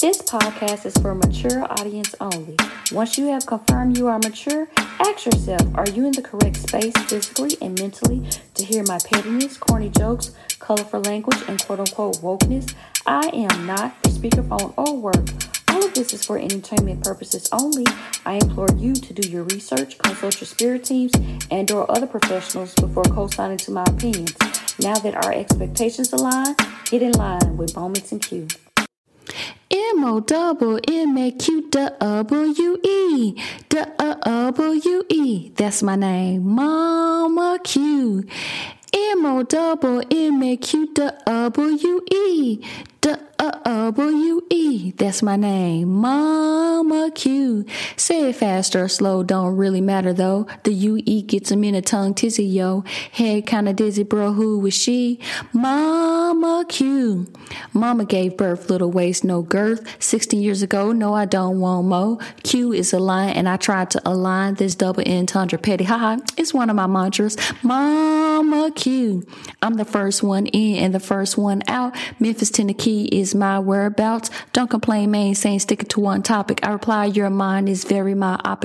This podcast is for mature audience only. Once you have confirmed you are mature, ask yourself, are you in the correct space physically and mentally to hear my pettiness, corny jokes, colorful language, and quote unquote wokeness? I am not for speakerphone or work. All of this is for entertainment purposes only. I implore you to do your research, consult your spirit teams and or other professionals before co-signing to my opinions. Now that our expectations align, Get in line with Bowmix and Q. M O double M A Q W E W E. That's my name, Mama Q. M O double M A Q W E W E. That's my name, Mama Q. Say it fast or slow, don't really matter though. The UE gets a minute a tongue tizzy, yo. Head kinda dizzy, bro. Who was she? Mama Q. Mama gave birth, little waist, no girth. 16 years ago, no, I don't want mo. Q is a line, and I tried to align this double entendre petty. ha. it's one of my mantras. Mama Q. I'm the first one in and the first one out. Memphis, Tennessee is my whereabouts. Don't complain, man. Saying stick it to one topic. I reply, your mind is very myopic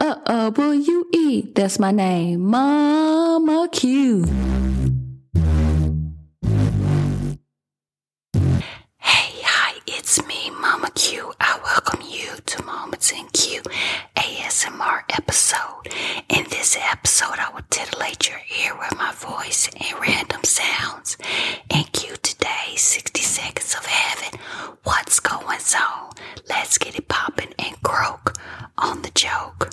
uh, uh, uh, will That's my name, Mama Q. Hey, hi, it's me, Mama Q. I welcome you to Moments in Q ASMR episode. In this episode, I will titillate your ear with my voice and random sounds. And Q today, 60 Seconds of Heaven What's going on? Let's get it popping and croak on the joke.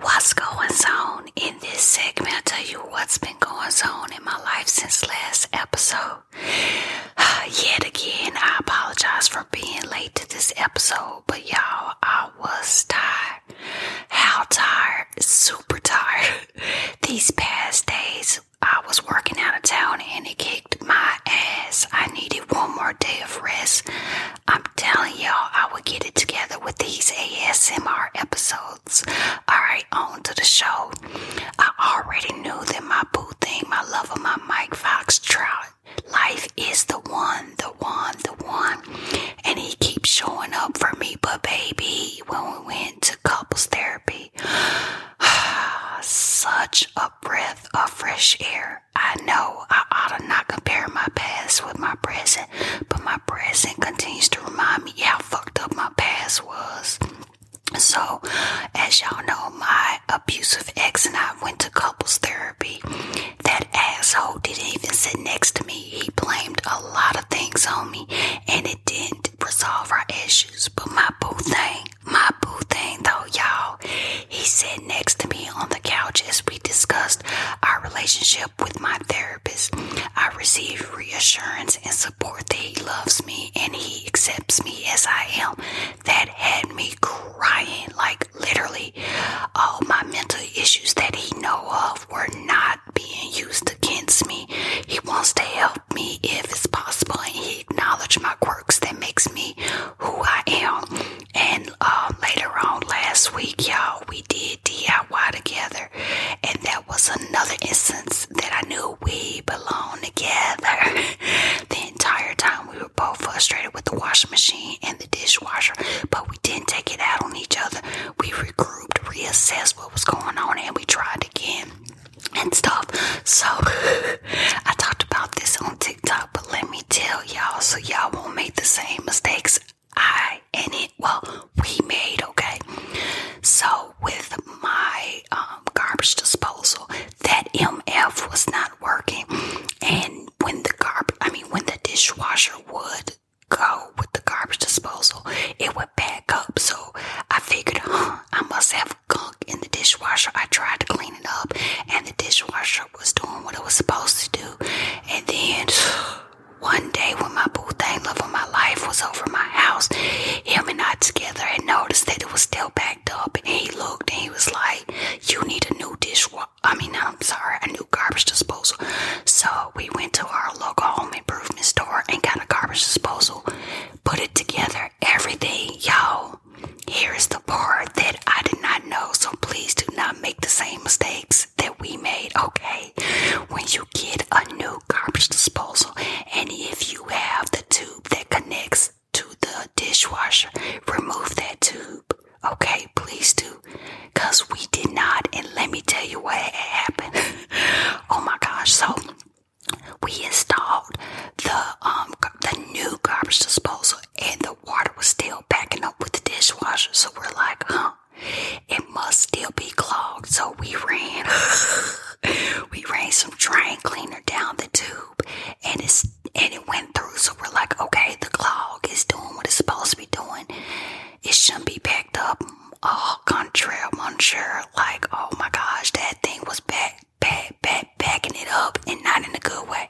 What's going on? In this segment, i tell you what's been going on in my life since last episode. Yet again, I apologize for being late to this episode, but y'all, I was tired. How tired? Super tired. These past days, I was working out of town and it kicked my ass. I needed one more day of rest. I'm telling y'all, I will get it together with these ASMR episodes. Alright, on to the show. I already knew that my boo thing, my love of my Mike Fox Trout, life is the one, the one, the one. And he keeps showing up for me. But baby, when we went to couples therapy. Such a breath of fresh air. I know I ought to not compare my past with my present, but my present continues to remind me how fucked up my past was. So, as y'all know, my abusive ex and I went to couples therapy. That asshole didn't even sit next to me. He blamed a lot of things on me, and it didn't resolve our issues. But my boo thing, my boo thing though, y'all, he sat next to me on the couch as we discussed our relationship with my therapist. I received reassurance and support that he loves me and he accepts me as I am. That had me crying, like literally all my mental issues that he know of were not being used against me. He wants to help me if it's possible, and he acknowledged my quirks that makes me who I am. And uh, later on last week, y'all, we did DIY together, and that was another instance that I knew we belong together. the entire time we were both frustrated with the washing machine and the dishwasher, but we didn't take it out on each other. We regrouped, reassessed what was going on, and we tried again and stuff. So I talked about this on TikTok, but let me tell y'all so y'all won't make the same mistakes I and it well we made. Okay, so with my um, garbage disposal, that MF was not working, and when the garbage, I mean when the dishwasher would go with the garbage disposal, it would back up. So I figured, huh, I must have gunk in the dishwasher. I tried to clean it up, and the dishwasher was doing what it was supposed to do. And then one day, when my boo thing, love of my life, was over my house, him and I together had noticed that it was still backed up. And he looked and he was like, You need a new dishwasher. I mean, I'm sorry, a new garbage disposal. So we went to our local home improvement store and got a garbage disposal. Put it together, everything, y'all. Here is the part that I did not know, so please do not make the same mistakes that we made, okay? When you get a new garbage disposal, and if you have the tube that connects to the dishwasher, remove that tube, okay? Please do, because we did not, and let me tell you what happened. oh my gosh. So we installed the um the new garbage disposal and the water was still backing up with the dishwasher. So we're like, huh, it must still be clogged. So we ran we ran some drain cleaner down the tube and it's and it went through. So we're like, okay, the clog is doing what it's supposed to be doing. It shouldn't be backed up au contraire, monsieur. Like, oh my gosh, that thing was back, back, back, backing it up and not in a good way.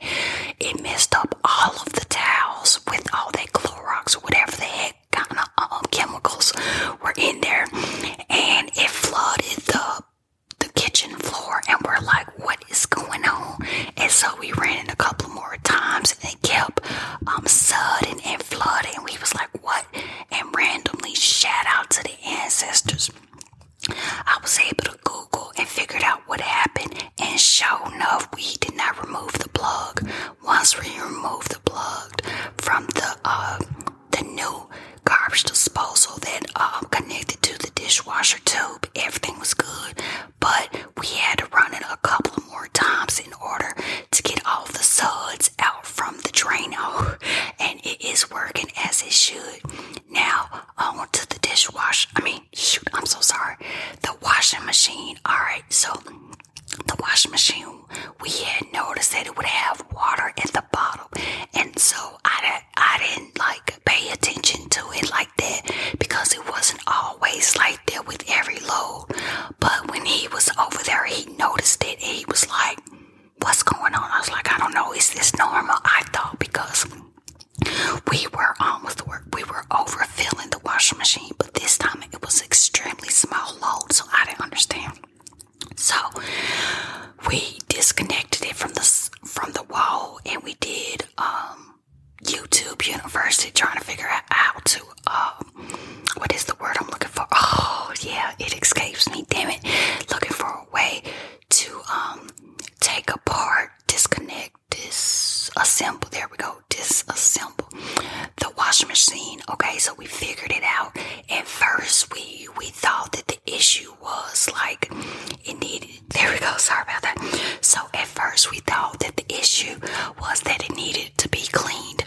It messed up all of the towels with all that Clorox or whatever they had kind of uh, um, chemicals were in there. And it flooded the the kitchen floor and we're like, what is going on? And so we ran it a couple more times and it kept um, sudding and flooding. We was like, what, and randomly shout out to the ancestors. I was able to Google and figured out what happened, and sure enough, we did not remove the plug. Once we removed the plug from the uh, the new garbage disposal that um, connected to the dishwasher tube, everything was good. But we had to run it a couple more times in order to get all the suds out from the Drano, and it is working as it should. Now, on to the dishwasher. I mean, shoot, I'm so sorry. The washing machine. All right, so the washing machine, we had noticed that it would have water in the bottom, and so I, I didn't like pay attention to it like that because it wasn't always like right there with every load. But when he was over there, he noticed it he was like, What's going on? I was like, I don't know. Is this normal? I thought because we were um, almost the work, we were overfilling the washing machine, but this time it was extremely small load, so I didn't understand. So we disconnected it from the from the wall, and we did um, YouTube University trying to figure out how to um, what is the word I'm looking for? Oh, yeah, it escapes me. Damn it. Looking for a way to um take apart, disconnect, disassemble. There we go. Disassemble the washing machine. Okay, so we figured it out. At first, we we thought that the issue was like it needed. There we go. Sorry about that. So at first, we thought that the issue was that it needed to be cleaned.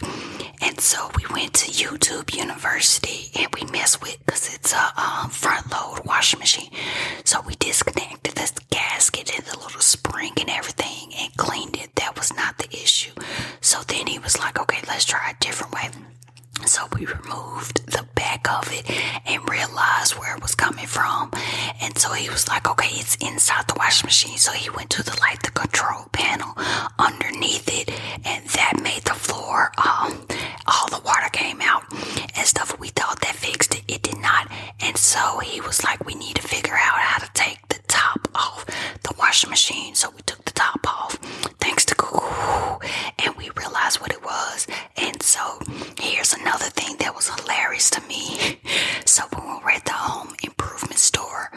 And so we went to YouTube University and we messed with because it's a front load washing machine. So we disconnected the gasket and the little spring and everything and cleaned it. That was not the issue. So then he was like, okay, let's try a different way. So we removed the back of it and realized where it was coming from. And so he was like, okay, it's inside the washing machine. So he went to the light, the control panel underneath it, and that made the floor um, all the water came out and stuff. We thought that fixed it, it did not. And so he was like, We need to figure out how to take the top off the washing machine. So we took the top off, thanks to Google, and we realized what it was. And so here's another thing that was hilarious to me. So when we were at the home improvement store,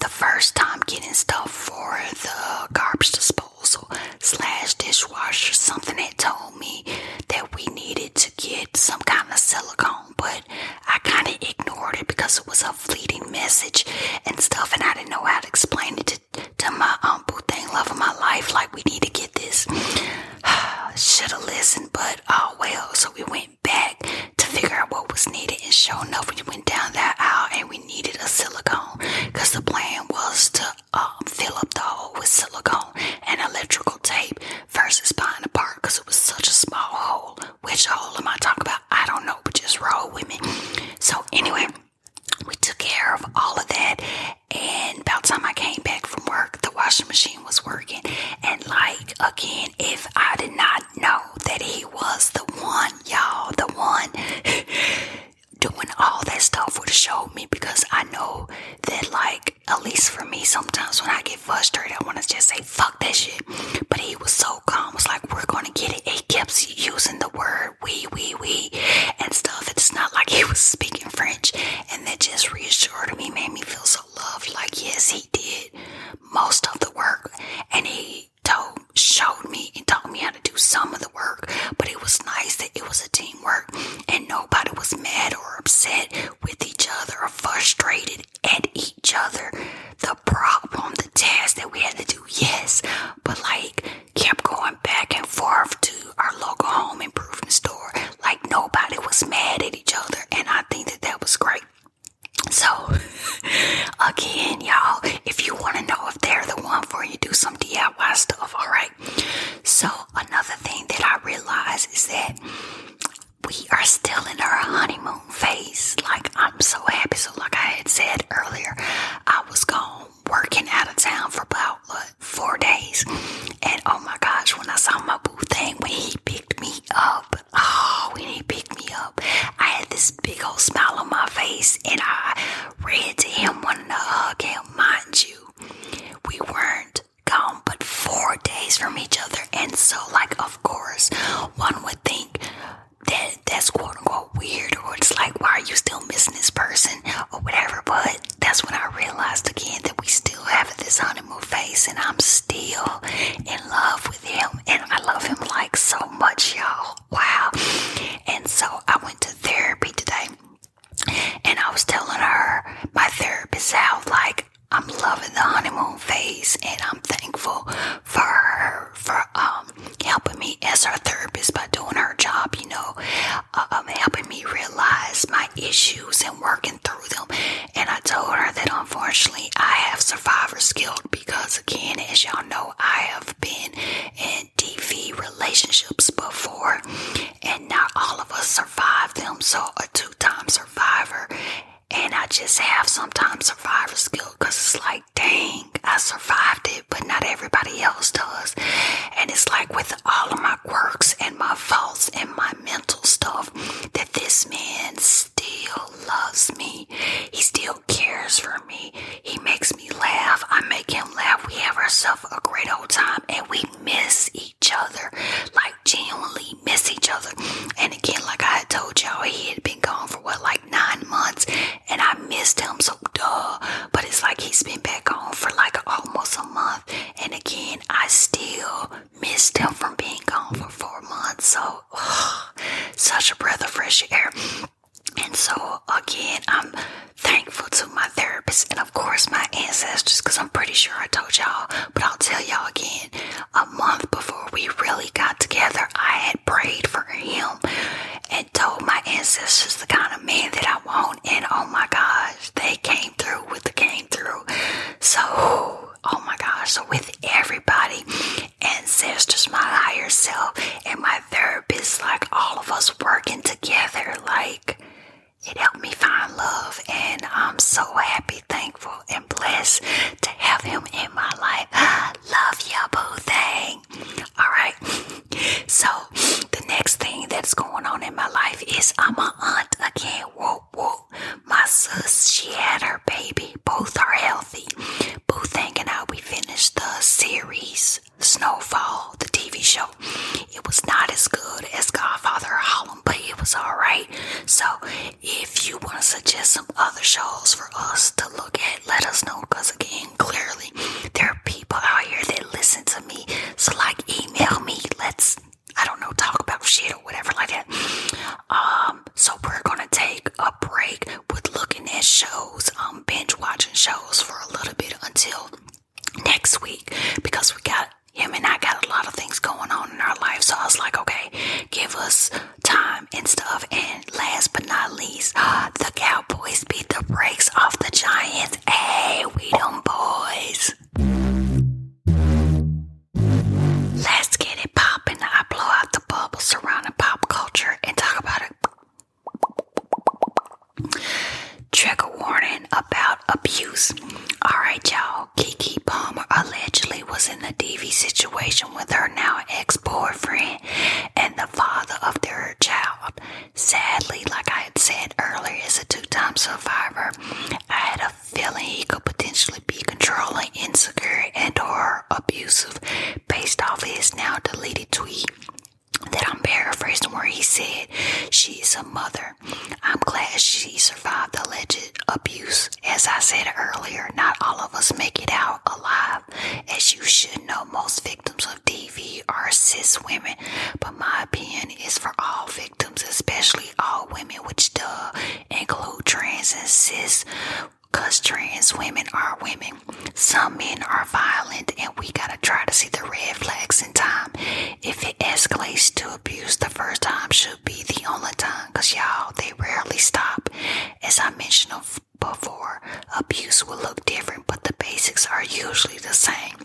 the first time getting stuff for the garbage disposal slash dishwasher, something that told me that we needed to get some kind of silicone, but I kind of ignored it because it was a fleeting message and stuff, and I didn't know how to explain it to, to my uncle thing, love of my life, like we need to get this. Should have listened, but oh well. So we went back to figure out what was needed. And sure enough, we went down that aisle and we needed a silicone because the plan was to um, fill up the hole with silicone and electrical tape versus buying a because it was such a small hole. Which hole am I talking about? I don't know, but just roll with me. So, anyway, we took care of all of that. And about the time I came back from work, the washing machine was working. And, like, again, if I did not know that he was the one, y'all, the one doing all that stuff would show me because I know that like at least for me sometimes when I get frustrated I wanna just say fuck that shit. But he was so calm, was like we're gonna get it. He kept using the word we we we and stuff. It's not like he was speaking French and that just reassured me, made me feel so loved. Like yes he did most of the work and he they showed me and taught me how to do some of the work but it was nice that it was a teamwork and nobody was mad or upset with each other or frustrated at each other the problem the task that we had to do yes but like kept going back and forth to our local home improvement store like nobody was mad at each other and i think that that was great so, again, y'all, if you want to know if they're the one for you, do some DIY stuff, all right? So, another thing that I realize is that we are still in our honeymoon phase. Like, I'm so happy. So, like I had said earlier, I was gone working out of town for about what, four days. And oh my gosh, when I saw my boo thing, when he picked me up, Oh, he picked me up, I had this big old smile on my face, and I read to him wanting to hug him. Mind you, we weren't gone but four days from each other, and so, like, of course, one would think that that's quote unquote weird, or it's like, why are you still missing this person, or whatever. But that's when I realized again that we still have this honeymoon face, and I'm still in love with him and I love him like so much, y'all. Wow. And so I went to therapy today and I was telling her, my therapist, how like I'm loving the honeymoon phase and I'm thankful for her for um helping me as her therapist by doing her job, you know, uh, um, helping me realize my issues and working through them. And I told her that unfortunately I have survivor skill because, again, as y'all know, I have been in DV relationships before, and not all of us survive them. So, a two time survivor, and I just have sometimes survivor skill because it's like, dang, I survived it, but not everybody else does. And it's like with all of my quirks and my faults and my mental stuff that this man still loves me. He still cares for me. He makes me laugh. I make him laugh. We have ourselves a great old time and we miss each other. Like genuinely miss each other. And again, like I had told y'all, he had been gone for what, like nine months and I missed him. So duh. But it's like he's been back home for like almost a month. And again, I still missed him from being gone for four months. So such a breath of fresh air. And so, again, I'm thankful to my therapist and, of course, my ancestors because I'm pretty sure I told y'all, but I'll tell y'all again. A month before we really got together, I had prayed for him and told my ancestors the kind of man that I want. And oh my gosh, they came through with the came through. So, oh my gosh, so with everybody ancestors, my higher self, and my therapist, like all of us working together, like it helped me find love. And I'm so happy, thankful, and blessed to have him in my life. Love you, boo thing. All right. So the next thing that's going on in my life is I'm a aunt again. Whoop whoop. My sis, she had her baby. Both are healthy healthy. Boothang and I, we finished the series Snowfall, the TV show. It was not as good as Godfather or Harlem, but it was alright. So, if you want to suggest some other shows for us to look at, let us know. Because, again, clearly, there are people out here that listen to me. So, like, email me. Let's, I don't know, talk about shit or whatever like that. Uh, um, so we're gonna take a break with looking at shows, um, binge watching shows for a little bit until next week because we got him and I got a lot of things going on in our life. So I was like, okay, give us time and stuff. And last but not least, the Cowboys beat the brakes off the Giants. Hey, we them boys. Let's get it poppin'. I blow out the bubble surrounding pop culture and talk about it. Trigger warning about abuse. Alright, y'all. Kiki Palmer allegedly was in a DV situation with her now ex boyfriend and the father of their child. Sadly, like I had said earlier, is a two time survivor. I had a feeling he could potentially be controlling, insecure, and or abusive based off his now deleted tweet that I'm paraphrasing where he said she's a mother. I'm glad she survived the alleged abuse. As I said earlier, not all of us make it out alive. As you should know, most victims of DV are cis women, but my opinion is for all victims, especially all women, which does include trans and cis Cause trans women are women. Some men are violent, and we gotta try to see the red flags in time. If it escalates to abuse, the first time should be the only time. Cause y'all, they rarely stop. As I mentioned before, abuse will look different, but the basics are usually the same.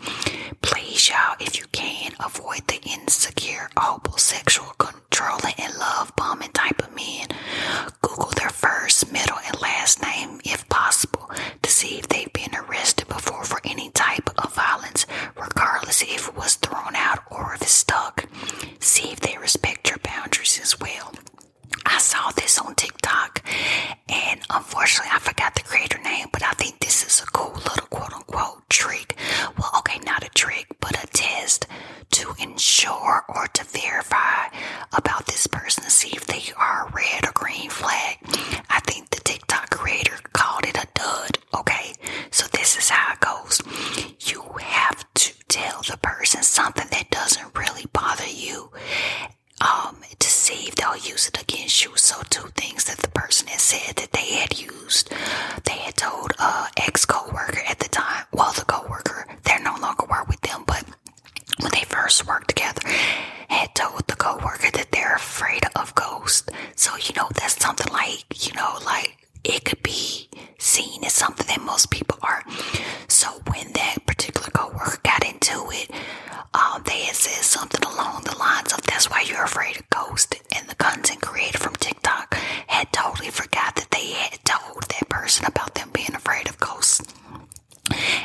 Please, y'all, if you can, avoid the insecure, homosexual controlling and love bombing type of men. Google their first, middle, and last name if possible to see if they've been arrested before for any type of violence, regardless if it was thrown out or if it's stuck. See if they respect your boundaries as well. I saw this on TikTok, and unfortunately, I forgot the creator name, but I think this is a cool little quote unquote trick. Well, okay, not a trick, but a test to ensure or to verify about this person to see if they are a red or green flag. I think the TikTok creator called it a dud. Okay, so this is how it goes. You have to tell the person something that doesn't really bother you um, to see if they'll use it against you. So, two things that the person had said that they had used, they had told a uh, ex co worker at the time well, the coworker, they're no longer work with them, but when they first worked together, had told the coworker that they're afraid of ghosts. So, you know, that's something like, you know, like it could be seen as something that most people are. So when that particular coworker got into it, um, they had said something along the lines of that's why you're afraid of ghosts. And the content created from TikTok had totally forgot that they had told that person about them being afraid of ghosts.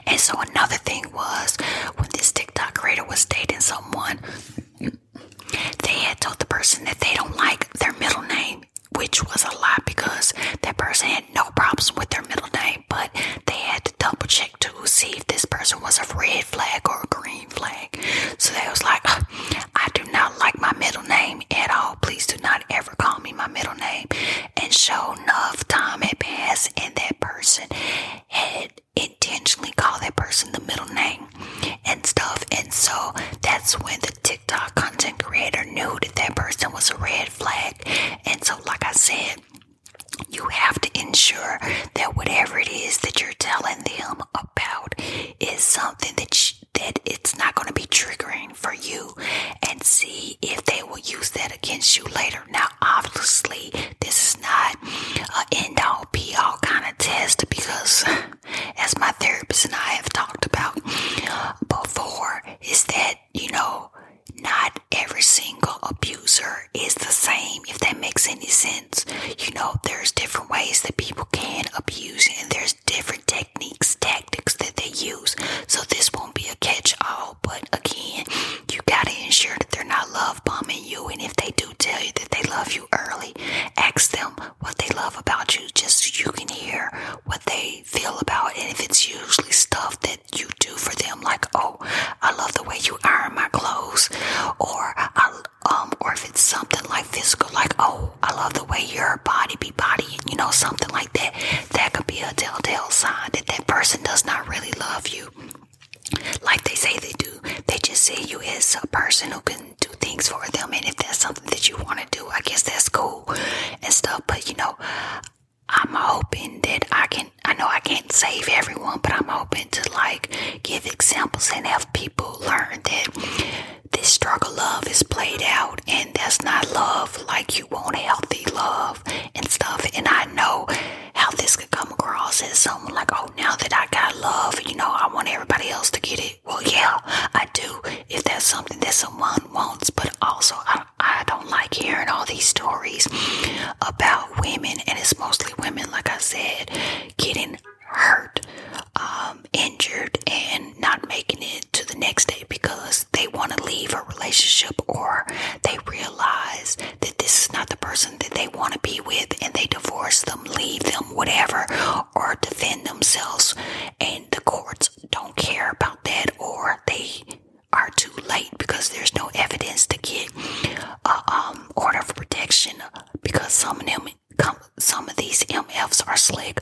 And so another thing was when this TikTok creator was dating someone, they had told the person that they don't like their middle name, which was a lie because that person had no problems with their middle name, but they had to double check to see if this person was a red flag or a green flag. So they was like, I do not like my middle name at all please do not ever call me my middle name. And show enough time had passed, and that person had intentionally called that person the middle name and stuff. And so that's when the TikTok content creator knew that that person was a red flag. And so, like I said, you have to ensure that whatever it is that you're telling them about is something that that it's not going to be triggering for you and see if they will use that against you later. Now, obviously, this is not an end all be all kind of test because, as my therapist and I have talked about before, is that, you know, not every single abuser is the same, if that makes any sense. You know, there's different ways that people can abuse, and there's different techniques, tactics that they use. So this won't be a catch all, but again, you gotta ensure that they're not love bombing you. And if they do tell you that they love you early, ask them what they love about you just so you can hear what they feel about And if it's usually stuff that you do for them, like, oh, I love the way you iron my clothes, or um, or if it's something like physical, like, oh, I love the way your body be bodying, you know, something like that, that could be a telltale sign that that person does not really love you like they say they do. They just see you as a person who can do things for them. And if that's something that you want to do, I guess that's cool and stuff. But, you know, I'm hoping that I can, I know I can't save everyone, but I'm hoping to like give examples and have people learn that this struggle love is played out, and that's not love. Like you want healthy love and stuff. And I know how this could come across as someone like, oh, now that I got love, you know, I want everybody else to get it. Well, yeah, I do. If that's something that someone wants, but also I, I don't like hearing all these stories about women, and it's mostly women, like I said, getting hurt um, injured, and not making it to the next day because they want to leave a relationship or they realize that this is not the person that they want to be with and they divorce them, leave them, whatever, or defend themselves. And the courts don't care about that or they are too late because there's no evidence to get a um, order of protection because some of them some of these MFs are slick,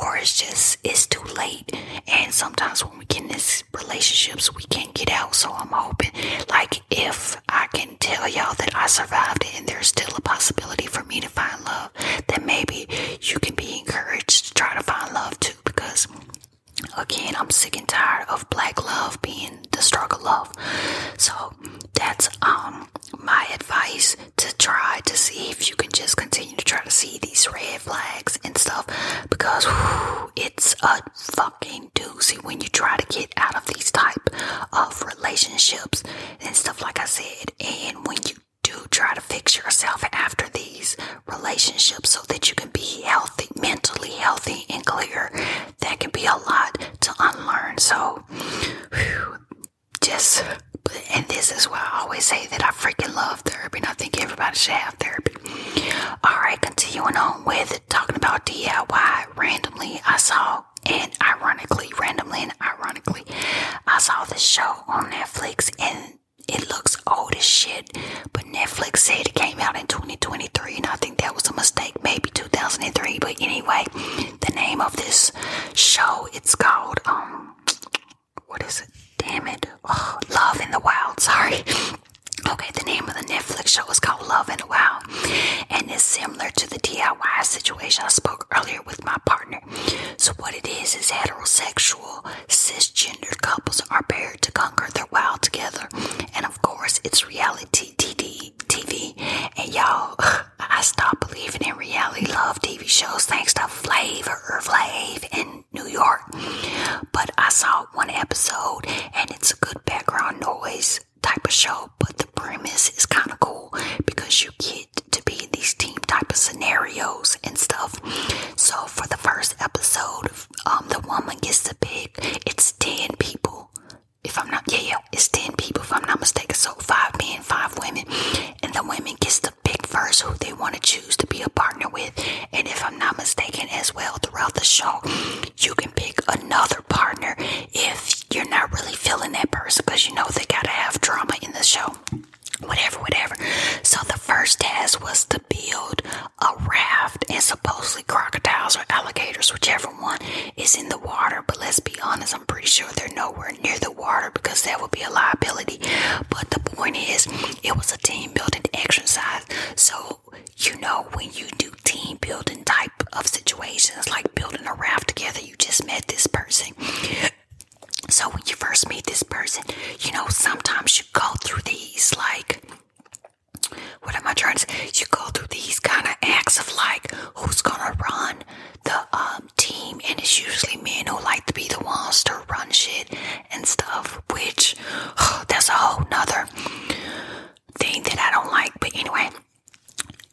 or it's just it's too late. And sometimes when we get in these relationships, we can't get out. So I'm hoping, like, if I can tell y'all that I survived it, and there's still a possibility for me to find love, then maybe you can be encouraged to try to find love too, because. Again, I'm sick and tired of black love being the struggle love. So that's um my advice to try to see if you can just continue to try to see these red flags and stuff because it's a fucking doozy when you try to get out of these type of relationships and stuff like I said and when you do try to fix yourself after these relationships so that you can be healthy mentally healthy and clear that can be a lot to unlearn so just, and this is why I always say that I freaking love therapy and I think everybody should have therapy. All right, continuing on with talking about DIY randomly, I saw and ironically, randomly and ironically, I saw this show on Netflix and it looks old as shit, but Netflix said it came out in 2023, and I think that was a mistake, maybe 2003. But anyway, the name of this show it's called um, what is it? Damn it. Oh, Love in the Wild. Sorry. Okay, the name of the Netflix show is called Love in the Wild and it's similar to the DIY situation I spoke earlier with my partner. So, what it is is heterosexual, cisgender couples are paired to conquer their wild together. And of course, it's reality TV, TV and y'all, I stopped believing in reality love TV shows thanks to Flavor Flav in New York. But I saw one episode and it's a good background noise type of show, but the premise is kind of cool because you get to be in these team type of scenarios and stuff. So for the first episode, um, the woman gets to pick. It's ten people, if I'm not yeah yeah, it's ten people if I'm not mistaken. So five men, five women, and the women gets to pick first who they want to choose to be a partner with. And if I'm not mistaken, as well, throughout the show, you can pick another partner if you're not really feeling that person because you know they got to have drama in the show. Whatever, whatever. So the first task was to build a raft, and supposedly crocodiles or alligators, whichever one is in the water. But let's be honest I'm pretty sure they're nowhere near the water because that would be a liability. But the point is, it was a team building exercise. So, you know, when you do team building type of situations, like building a raft together, you just met this person. So, when you first meet this person, you know, sometimes you go through these like, what am I trying to say? You go through these kind of acts of like, who's gonna run? the um, team, and it's usually men who like to be the ones to run shit and stuff, which that's a whole nother thing that I don't like. But anyway,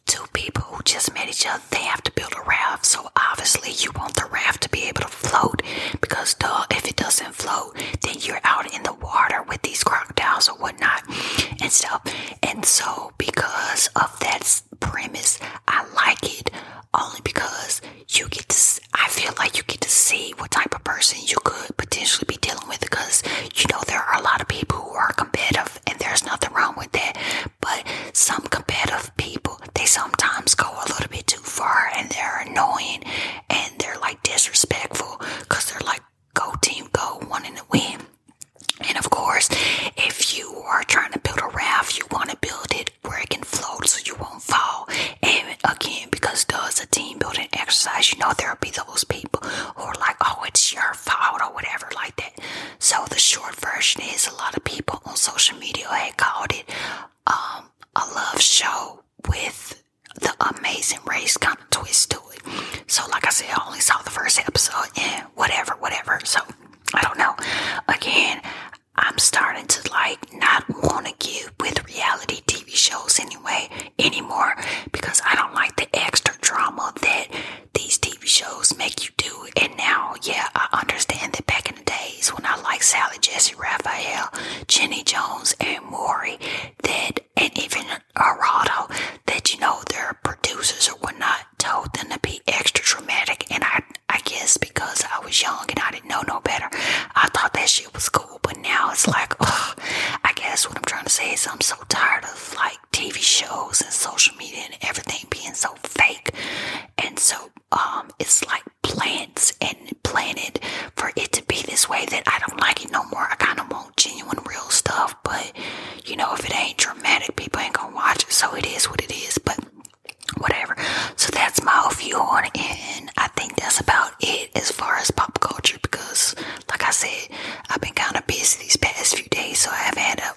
two people who just met each other, they have to build a raft. So obviously, you want the raft to be able to float because, duh, if it doesn't float, then you're out in the water with these crocodiles or whatnot and stuff. And so, because of that premise. I like it only because you get to, I feel like you get to see what type of person you could potentially be dealing with because you know there are a lot of people who are competitive and there's nothing wrong with that. But some competitive people, they sometimes go a little bit too far and they're annoying and they're like disrespectful because they're like, go team, go, wanting to win. And of course, if you you are trying to build a raft, you want to build it where it can float so you won't fall. And again, because does a team building exercise, you know there'll be those people who are like, oh, it's your fault or whatever like that. So the short version is a lot of people on social media had called it um, a love show with the amazing race kind of twist to it. So like I said, I only saw the first episode and whatever, whatever. So I don't know. Again, I'm starting to like not want to get with reality TV shows anyway anymore because I don't like the extra drama that these TV shows make you do. And now, yeah, I understand that back in the days when I liked Sally, Jesse, Raphael, Jenny Jones, and Maury, that and even Arado, that you know they're producers or whatnot I told them to be extra dramatic, and I I guess because I was young and I didn't know no better, I thought that shit was cool. But now it's like, I guess what I'm trying to say is I'm so tired of like TV shows and social media and everything being so fake, and so um, it's like plants and planted for it to be this way that I don't like it no more. I kind of want genuine, real stuff, but you know, if it ain't dramatic, people ain't gonna watch it. So it is what it is. But whatever. So that's my view on it, and I think that's about it as far as pop culture because, like I said, I've been kind of busy these past few days, so I have had a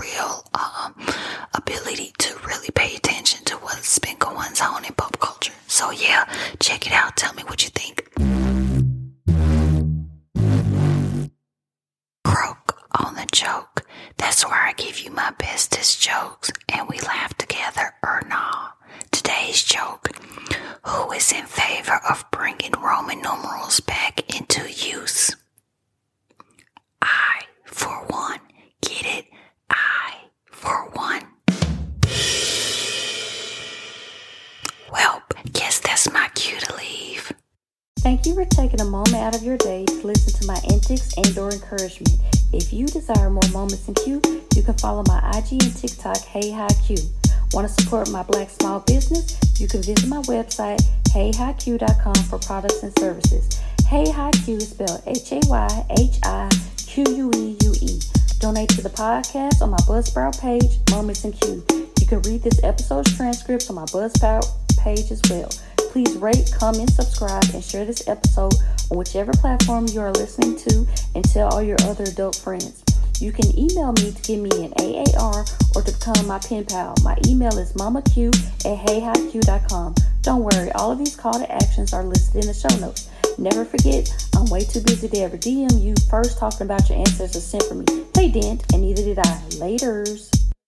real um, ability to really pay attention to what's been going on in pop culture. So, yeah, check it out. Tell me what you think croak on the joke. That's where I give you my bestest jokes, and we laugh together or not. Today's joke Who is in favor of bringing Roman numerals back into use? I, for one, get it. I, for one. Well, guess that's my cue to leave. Thank you for taking a moment out of your day to listen to my antics and or encouragement. If you desire more moments in Q, you can follow my IG and TikTok, Hey Hi Q. Want to support my black small business? You can visit my website, heyhiq.com for products and services. Hey Hi Q is spelled H-A-Y-H-I-Q-U-E-U-E. Donate to the podcast on my Buzzsprout page, Moments in Q. You can read this episode's transcript on my Buzzsprout page as well. Please rate, comment, subscribe, and share this episode on whichever platform you are listening to and tell all your other adult friends. You can email me to give me an AAR or to become my pen pal. My email is mamaq at heyhiq.com. Don't worry, all of these call to actions are listed in the show notes. Never forget, I'm way too busy to ever DM you first talking about your ancestors sent for me. They didn't, and neither did I. Laters.